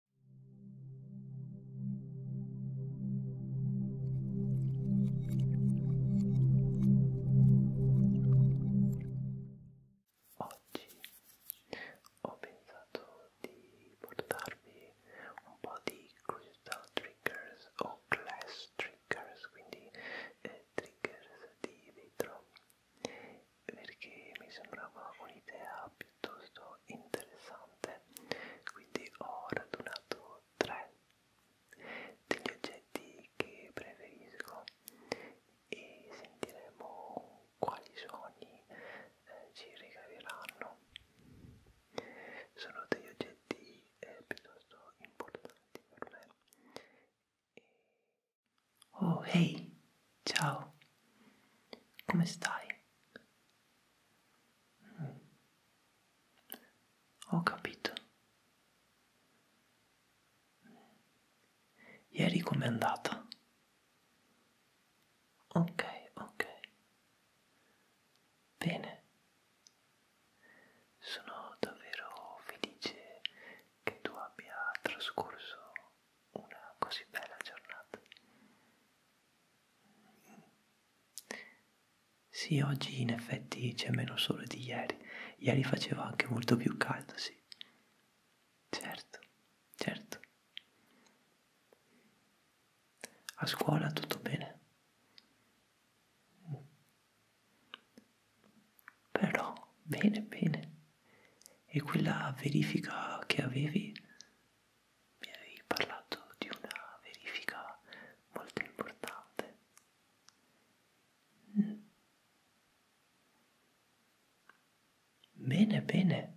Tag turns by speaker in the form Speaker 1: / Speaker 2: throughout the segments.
Speaker 1: Oggi ho pensato di portarvi un po' di curiosità triggers o class triggers, quindi eh, triggers di vetro perché mi sembrava un'idea piuttosto interessante quindi ho radunato tre degli oggetti che preferisco e sentiremo quali suoni eh, ci regaleranno sono degli oggetti eh, piuttosto importanti per me e... oh hey ciao come stai Mm. Ho capito. Ieri com'è andata? Ok, ok. Bene. Sono davvero felice che tu abbia trascorso una così bella giornata. Sì, oggi in effetti c'è meno sole di ieri. Ieri faceva anche molto più caldo, sì. Certo, certo. A scuola tutto bene. Però, bene, bene. E quella verifica che avevi mi avevi parlato di una verifica molto importante. Mm. Bene, bene.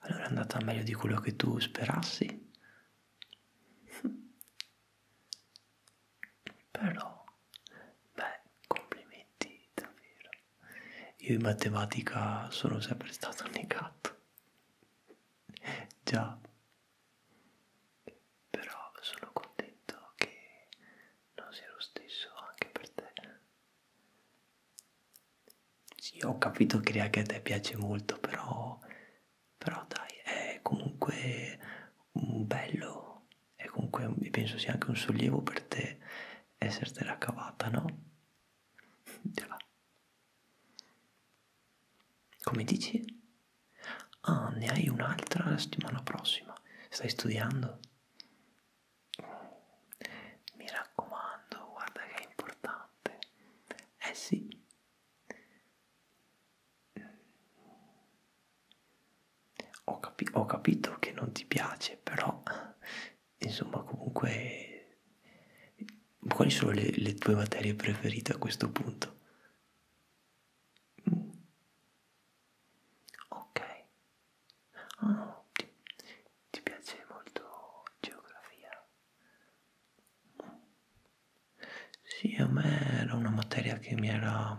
Speaker 1: Allora è andata meglio di quello che tu sperassi. Però, beh, complimenti davvero. Io in matematica sono sempre stato negato. Già. Però sono contento che non sia lo stesso anche per te. Sì, ho capito che anche a te piace molto, però... Però dai, è comunque un bello, e comunque penso sia anche un sollievo per te essertela cavata, no? Di là. Come dici? Ah, ne hai un'altra la settimana prossima. Stai studiando? Mi raccomando, guarda che è importante. Eh sì. Ho, capi ho capito che non ti piace, però insomma comunque quali sono le, le tue materie preferite a questo punto? Mm. Ok, oh, ti, ti piace molto geografia? Mm. Sì, a me era una materia che mi era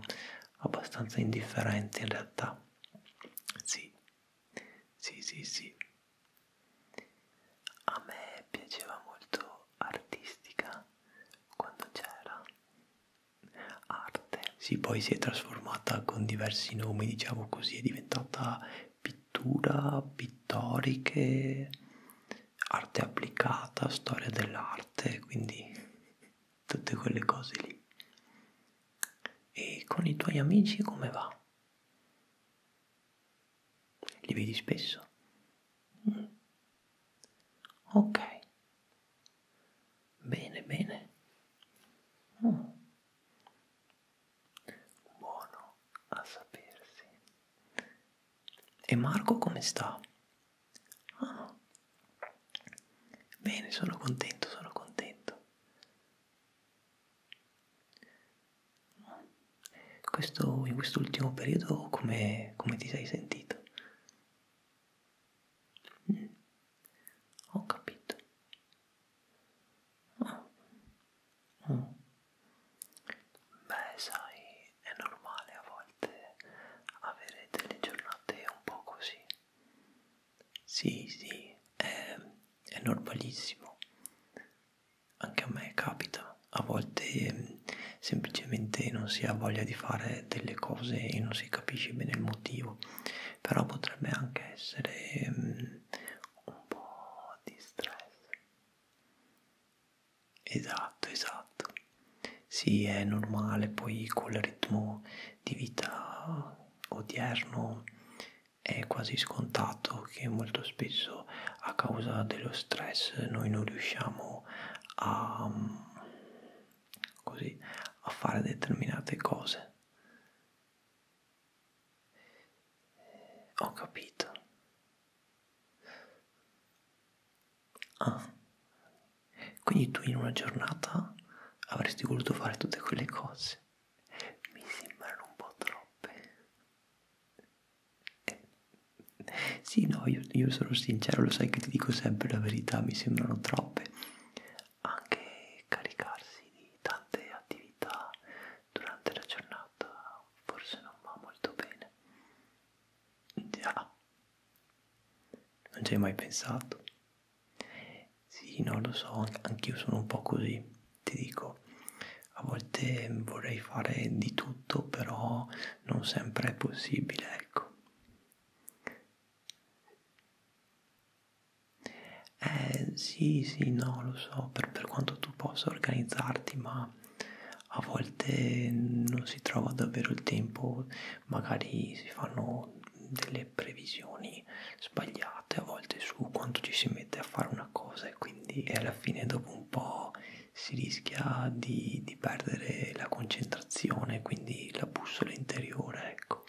Speaker 1: abbastanza indifferente in realtà. Sì, sì, sì, sì. A me piaceva molto artistica quando c'era arte. Sì, poi si è trasformata con diversi nomi, diciamo così, è diventata pittura, pittoriche, arte applicata, storia dell'arte, quindi tutte quelle cose lì. E con i tuoi amici come va? Li vedi spesso? Mm. Ok. Bene, bene. Mm. Buono a sapersi. E Marco come sta? Ah. Bene, sono contento, sono contento. Questo, in quest'ultimo periodo come, come ti sei sentito? Mm. Ho capito. Oh. Mm. Beh, sai, è normale a volte avere delle giornate un po' così. Sì, sì, è, è normalissimo. Anche a me capita. A volte eh, semplicemente non si ha voglia di fare delle cose e non si capisce bene il motivo. Però potrebbe anche essere eh, un po' di stress. Esatto, esatto. Sì, è normale, poi col ritmo di vita odierno è quasi scontato che molto spesso a causa dello stress noi non riusciamo a, mm, così, a fare determinate cose. Ho capito. Ah, quindi tu in una giornata avresti voluto fare tutte quelle cose mi sembrano un po' troppe. Eh. Sì, no, io, io sono sincero, lo sai che ti dico sempre la verità, mi sembrano troppe. Anche caricarsi di tante attività durante la giornata forse non va molto bene. Già, non ci hai mai pensato. Sì, non lo so, anch'io sono un po' così, ti dico. A volte vorrei fare di tutto, però non sempre è possibile, ecco. Eh sì, sì, no, lo so, per, per quanto tu possa organizzarti, ma a volte non si trova davvero il tempo, magari si fanno delle delle previsioni sbagliate a volte su quanto ci si mette a fare una cosa e quindi alla fine dopo un po' si rischia di, di perdere la concentrazione, quindi la bussola interiore, ecco.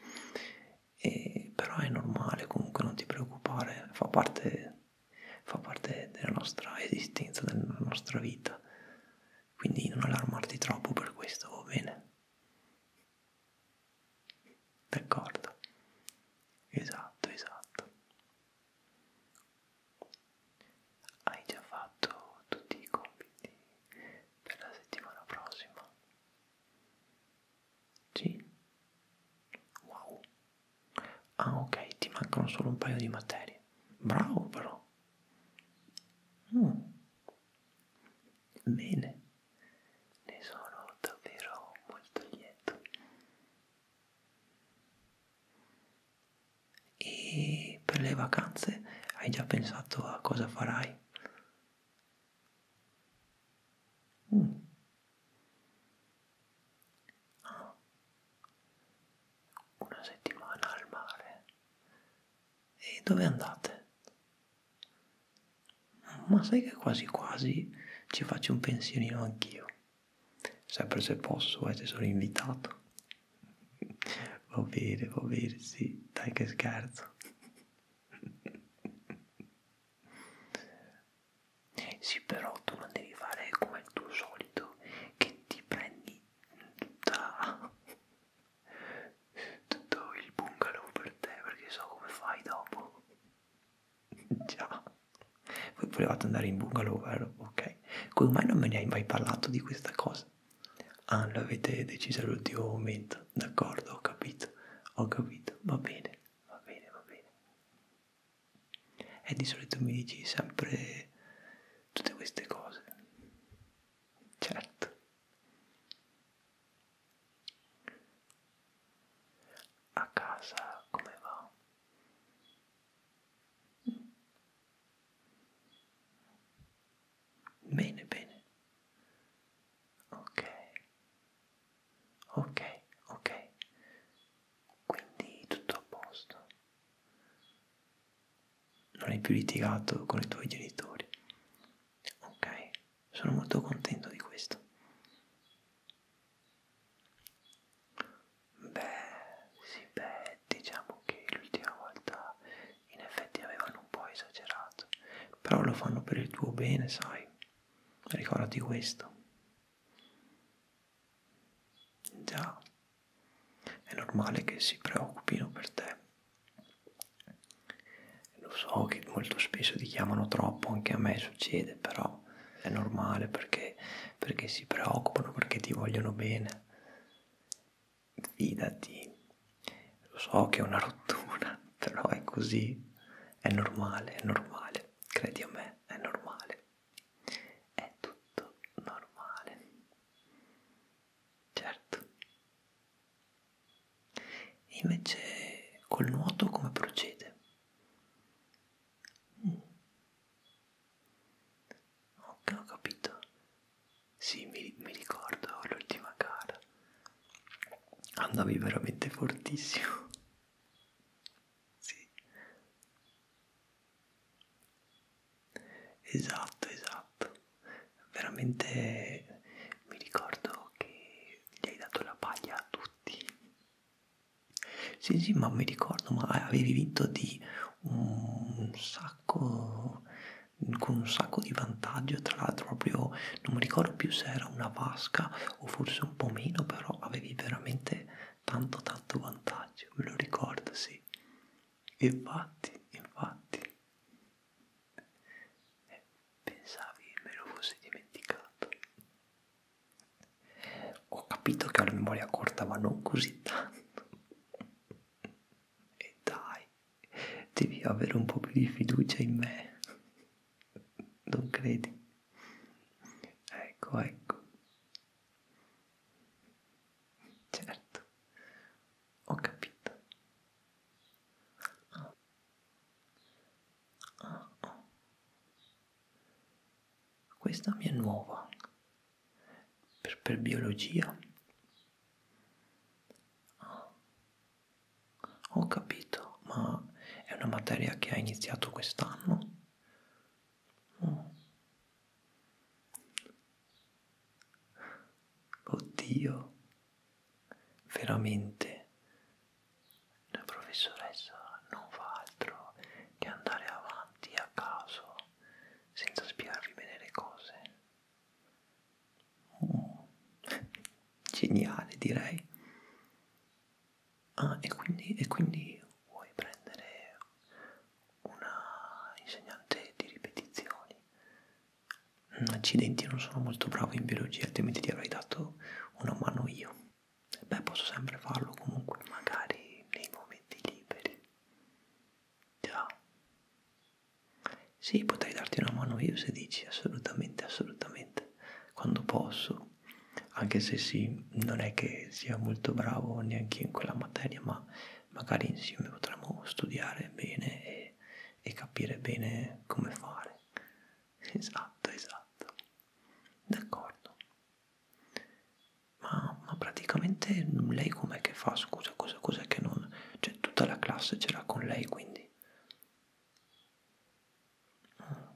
Speaker 1: E, però è normale, comunque non ti preoccupare, fa parte, fa parte della nostra esistenza, della nostra vita. Quindi non allarmarti troppo per questo, va bene? D'accordo? Esatto, esatto. Hai già fatto tutti i compiti per la settimana prossima? Sì? Wow. Ah ok, ti mancano solo un paio di materie. Bravo però. Mm. Bene ne sono davvero molto lieto e per le vacanze hai già pensato a cosa farai? Mm. Ah. Una settimana al mare. E dove andate? Ma sai che quasi quasi ci faccio un pensierino anch'io. Sempre se posso, eh, se sono invitato. Va bene, va bene, sì, dai che scherzo. Sì, però tu non devi fare come il tuo solito, che ti prendi tutta, tutto il bungalow per te, perché so come fai dopo. Già, voi volevate andare in bungalow, vero? Ok, come mai non me ne hai mai parlato di questa cosa? Ah, l'avete deciso all'ultimo momento, d'accordo, ho capito, ho capito, va bene, va bene, va bene. E eh, di solito mi dici sempre tutte queste cose. Certo. A casa come va? Bene, bene. Ok. Ok, ok. Quindi tutto a posto. Non hai più litigato con i tuoi genitori. Ok. Sono molto contento di questo. Beh, sì, beh, diciamo che l'ultima volta in effetti avevano un po' esagerato, però lo fanno per il tuo bene, sai. Ricordati questo. Già, è normale che si preoccupino per te. Lo so che molto spesso ti chiamano troppo, anche a me succede, però è normale perché, perché si preoccupano, perché ti vogliono bene. Fidati, lo so che è una rottura, però è così, è normale, è normale, credi a me, è normale, è tutto normale, certo. E invece col nuoto come procede? Mm. Ok, ho capito. Sì, mi, mi ricordo l'ultima gara. Andavi veramente fortissimo. sì. Esatto, esatto. Veramente mi ricordo che gli hai dato la paglia a tutti. Sì, sì, ma mi ricordo, ma avevi vinto di un sacco, con un sacco di vantaggio, tra l'altro proprio, non mi ricordo più se era una vasca o forse un po' meno, però avevi veramente tanto tanto vantaggio, me lo ricordo, sì. Infatti, infatti. Eh, pensavi me lo fossi dimenticato. Ho capito che ho la memoria corta, ma non così tanto. E dai, devi avere un po' più di fiducia in me. Non credi? Ecco, ecco. Certo, ho capito. Ah, Ah, ah. Questa mi è nuova. Per, per biologia. Ah. Ho capito, ma è una materia che ha iniziato quest'anno. Oh. Oddio, veramente la professoressa non fa altro che andare avanti a caso senza spiegarvi bene le cose oh, geniale direi ah e quindi, e quindi vuoi prendere una insegnante di ripetizioni accidenti non sono molto bravo in biologia altrimenti ti avrei dato una mano io. Beh, posso sempre farlo comunque, magari nei momenti liberi. Già. Sì, potrei darti una mano io se dici assolutamente, assolutamente, quando posso. Anche se sì, non è che sia molto bravo neanche in quella materia, ma magari insieme potremmo studiare bene e, e capire bene come fare. esatto, esatto, d'accordo. Ma, ma praticamente lei com'è che fa? Scusa, cosa, cos'è che non... Cioè tutta la classe c'era con lei quindi. Ah.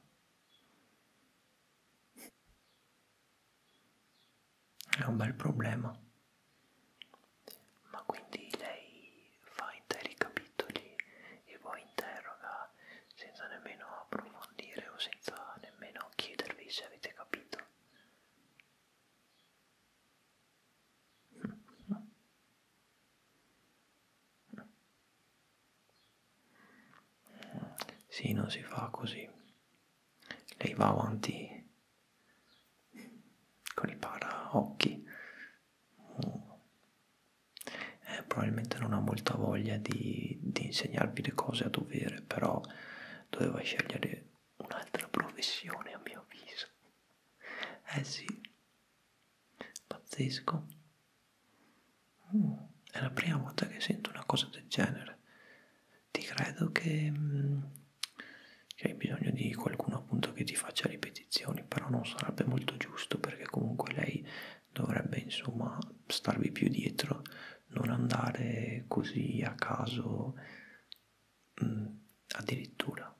Speaker 1: È un bel problema. Ma quindi lei fa interi capitoli e poi interroga senza nemmeno approfondire o senza nemmeno chiedervi se avete capito. Sì, non si fa così. Lei va avanti con i paraocchi eh, probabilmente non ha molta voglia di, di insegnarvi le cose a dovere, però doveva scegliere un'altra professione a mio avviso. Eh sì, pazzesco. Mm, è la prima volta che sento una cosa del genere. Ti credo che, mm, che hai bisogno di qualcuno appunto che ti faccia ripetire ripetizioni, però non sarebbe molto giusto perché comunque lei dovrebbe insomma starvi più dietro, non andare così a caso mh, mm, addirittura.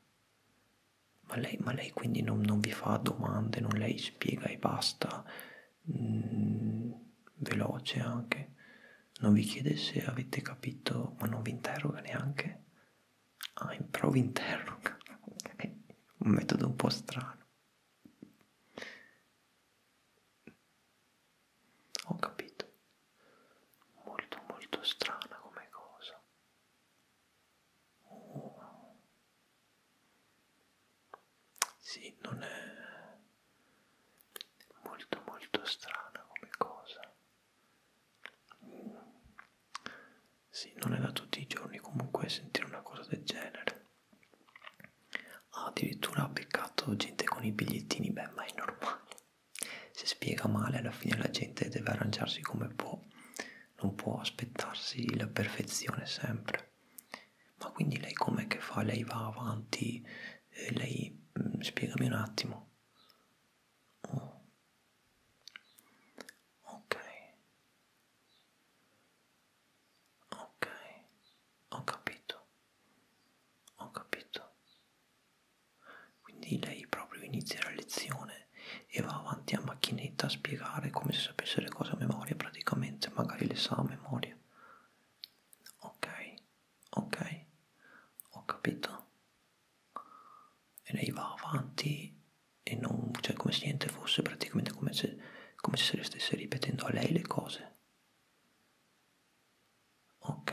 Speaker 1: Ma lei, ma lei quindi non, non vi fa domande, non lei spiega e basta, mh, mm, veloce anche, non vi chiede se avete capito, ma non vi interroga neanche. Ah, improv interno, ok, un metodo un po' strano. Ho capito, molto molto strana come cosa. Oh. Sì, non è molto molto strana come cosa. Sì, non è da tutti i giorni comunque sentire una cosa del genere. Ah, addirittura ha beccato gente con i bigliettini, beh, ma è normale. Se spiega male, alla fine la gente deve arrangiarsi come può, non può aspettarsi la perfezione sempre. Ma quindi lei com'è che fa? Lei va avanti, eh, lei mh, mm, spiegami un attimo. Oh. Ok, Ok, ho capito, ho capito. Quindi lei proprio inizia la lezione e va avanti a macchinetta a spiegare come se sapesse le cose a memoria praticamente, magari le sa a memoria. Ok, ok, ho capito. E lei va avanti e non, cioè come se niente fosse, praticamente come se, come se se le stesse ripetendo a lei le cose. Ok.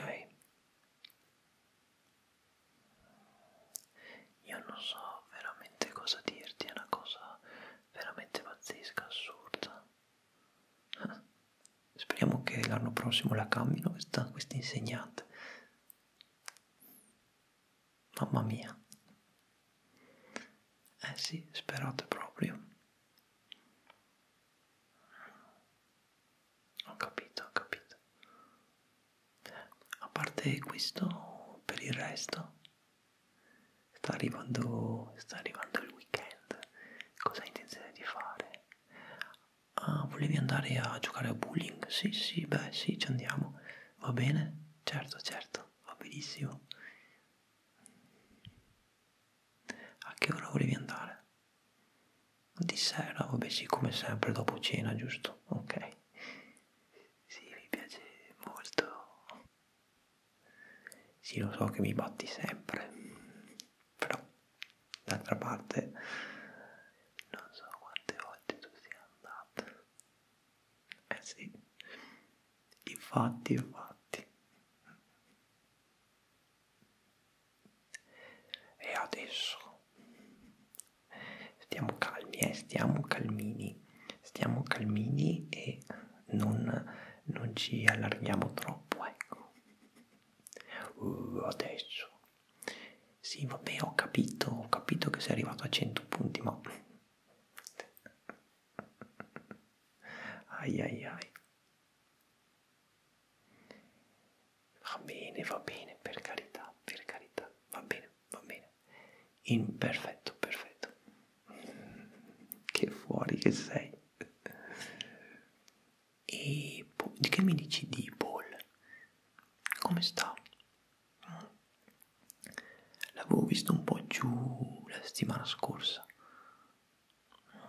Speaker 1: Io non so veramente cosa dirti, è una cosa veramente pazzesca, assurda. Eh? Speriamo che l'anno prossimo la cambino questa, questa insegnante. Mamma mia. Eh sì, sperate proprio. Ho capito, ho capito. A parte questo, per il resto, sta arrivando, sta arrivando il weekend. Cosa intenzione di fare? Ah, volevi andare a giocare a bowling? Sì, sì, beh, sì, ci andiamo. Va bene? certo, certo, va benissimo. A che ora volevi andare? Di sera, vabbè sì, come sempre dopo cena, giusto? Ok. Sì, mi piace molto. Sì, lo so che mi batti sempre, però d'altra parte non so quante volte tu sia andato eh sì, i fatti e fatti. E adesso stiamo calmi, eh, stiamo calmini, stiamo calmini e non, non ci allarghiamo troppo, ecco. Uh, adesso. Sì, vabbè, ho capito, ho capito che sei arrivato a 100 punti, ma ai ai ai va bene va bene per carità per carità va bene va bene in perfetto perfetto che fuori che sei e che mi dici di Paul come sta L'avevo visto un po' giù la settimana scorsa.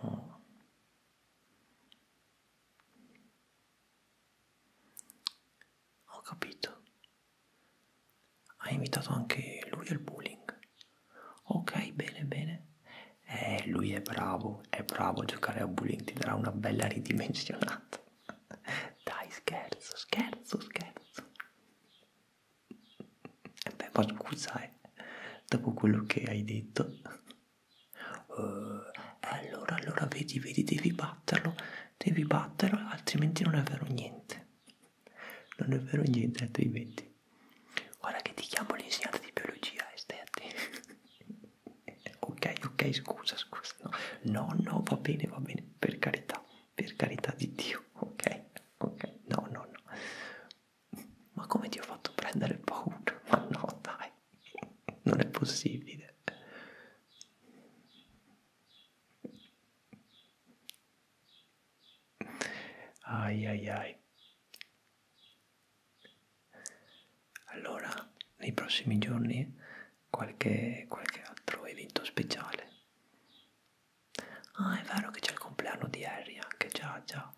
Speaker 1: No. Oh. Ho capito. Ha invitato anche lui al bowling. Ok, bene, bene. Eh, lui è bravo, è bravo a giocare a bowling, ti darà una bella ridimensionata. Dai, scherzo, scherzo, scherzo. E eh beh, ma scusa, eh, dopo quello che hai detto. Uh, allora, allora, vedi, vedi, devi batterlo, devi batterlo, altrimenti non è vero niente. Non è vero niente, altrimenti. Guarda che ti chiamo l'insegnante di biologia, eh, stai attento. ok, ok, scusa, scusa. No. no, no, va bene, va bene, per carità per carità di Dio, ok? Ok, no, no, no. Ma come ti ho fatto prendere paura? Ma no, dai, non è possibile. Ai ai ai. Allora, nei prossimi giorni qualche, qualche altro evento speciale. Ah, è vero che c'è il compleanno di Harry, anche già, già,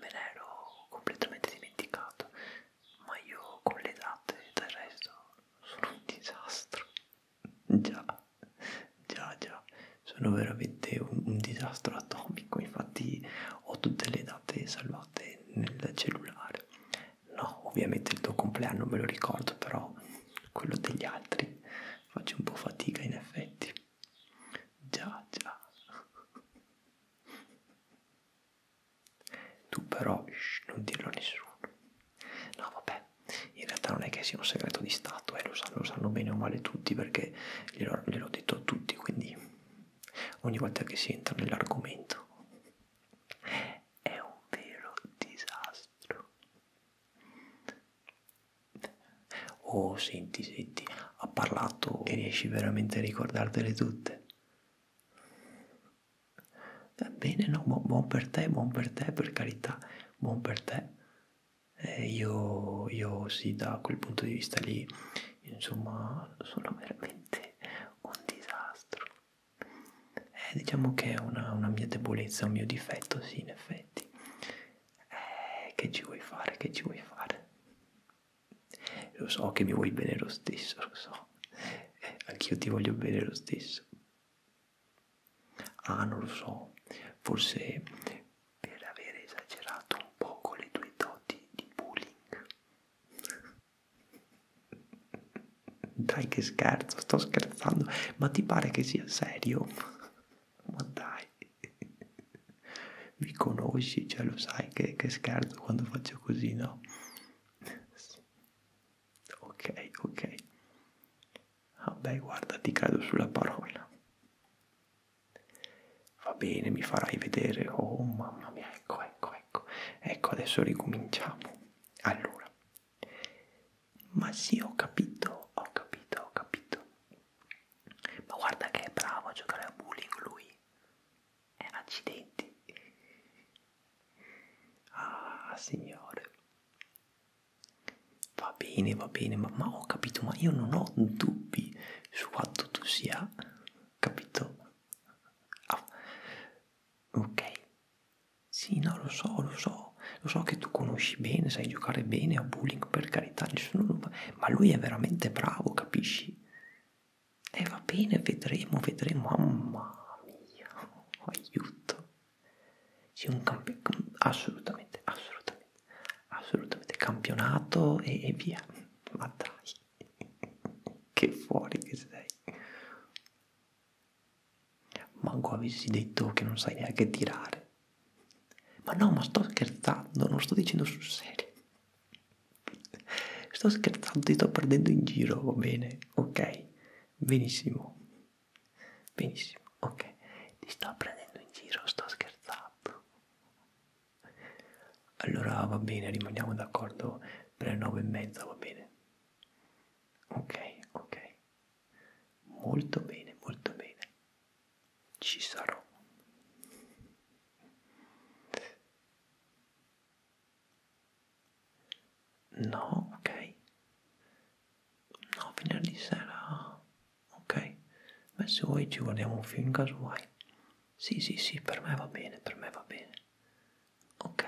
Speaker 1: me ne ero completamente dimenticato, ma io con le date del resto sono un disastro. Già, già, già, sono veramente un, un disastro atomico, infatti ho tutte le date salvate nel cellulare no ovviamente il tuo compleanno me lo ricordo però quello degli altri faccio un po' fatica in effetti già già tu però shh, non dirlo a nessuno no vabbè in realtà non è che sia un segreto di stato e eh, lo, lo sanno bene o male tutti perché gliel'ho gliel detto a tutti quindi ogni volta che si entra nell'argomento me è un vero disastro. Oh, senti, senti, ha parlato e riesci veramente a ricordartele tutte. Va bene, no, buon, buon per te, buon per te, per carità, buon per te. Eh, io, io sì, da quel punto di vista lì, insomma, sono veramente un disastro. Eh, diciamo che è una, una mia debolezza, un mio difetto, sì, in effetti. Eh, che ci vuoi fare, che ci vuoi fare? Lo so che mi vuoi bene lo stesso, lo so. Eh, anch'io ti voglio bene lo stesso. Ah, non lo so, forse per aver esagerato un po' con le tue doti di bullying. Dai che scherzo, sto scherzando, ma ti pare che sia serio? Ma dai, mi conosci, cioè lo sai che, che scherzo quando faccio così, no? Ok, ok. Vabbè, ah, guarda, ti credo sulla parola. Va bene, mi farai vedere. Oh mamma mia, ecco, ecco, ecco. Ecco, adesso ricominciamo. Allora, ma sì, ho capito, ho capito, ho capito. Ma guarda che è bravo a giocare a bowling lui. È eh, accidenti. Ah, signore. Va bene, va bene, ma, ma ho capito, ma io non ho dubbi su quanto tu sia, capito? Ah. Ok, sì, no, lo so, lo so, lo so che tu conosci bene, sai giocare bene a bowling, per carità, nessuno... ma lui è veramente bravo, capisci? E eh, va bene, vedremo, vedremo, mamma mia, oh, aiuto. Sì, un campione, mm, assolutamente, assolutamente, assolutamente, campionato e, e via, ma dai, che fuori che sei. Manco avessi detto che non sai neanche tirare. Ma no, ma sto scherzando, non sto dicendo sul serio. Sto scherzando, ti sto prendendo in giro, va bene? Ok, benissimo. Benissimo, ok. Ti sto prendendo in giro, sto scherzando. Allora va bene, rimaniamo d'accordo per le nove e mezza, va bene? ok ok molto bene molto bene ci sarò no ok no venerdì sera ok ma se vuoi ci guardiamo un film casuale sì sì sì per me va bene per me va bene ok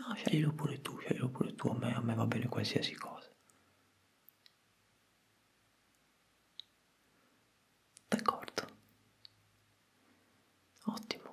Speaker 1: No, sceglilo pure tu, sceglilo pure tu, a me, a me va bene qualsiasi cosa. D'accordo. Ottimo.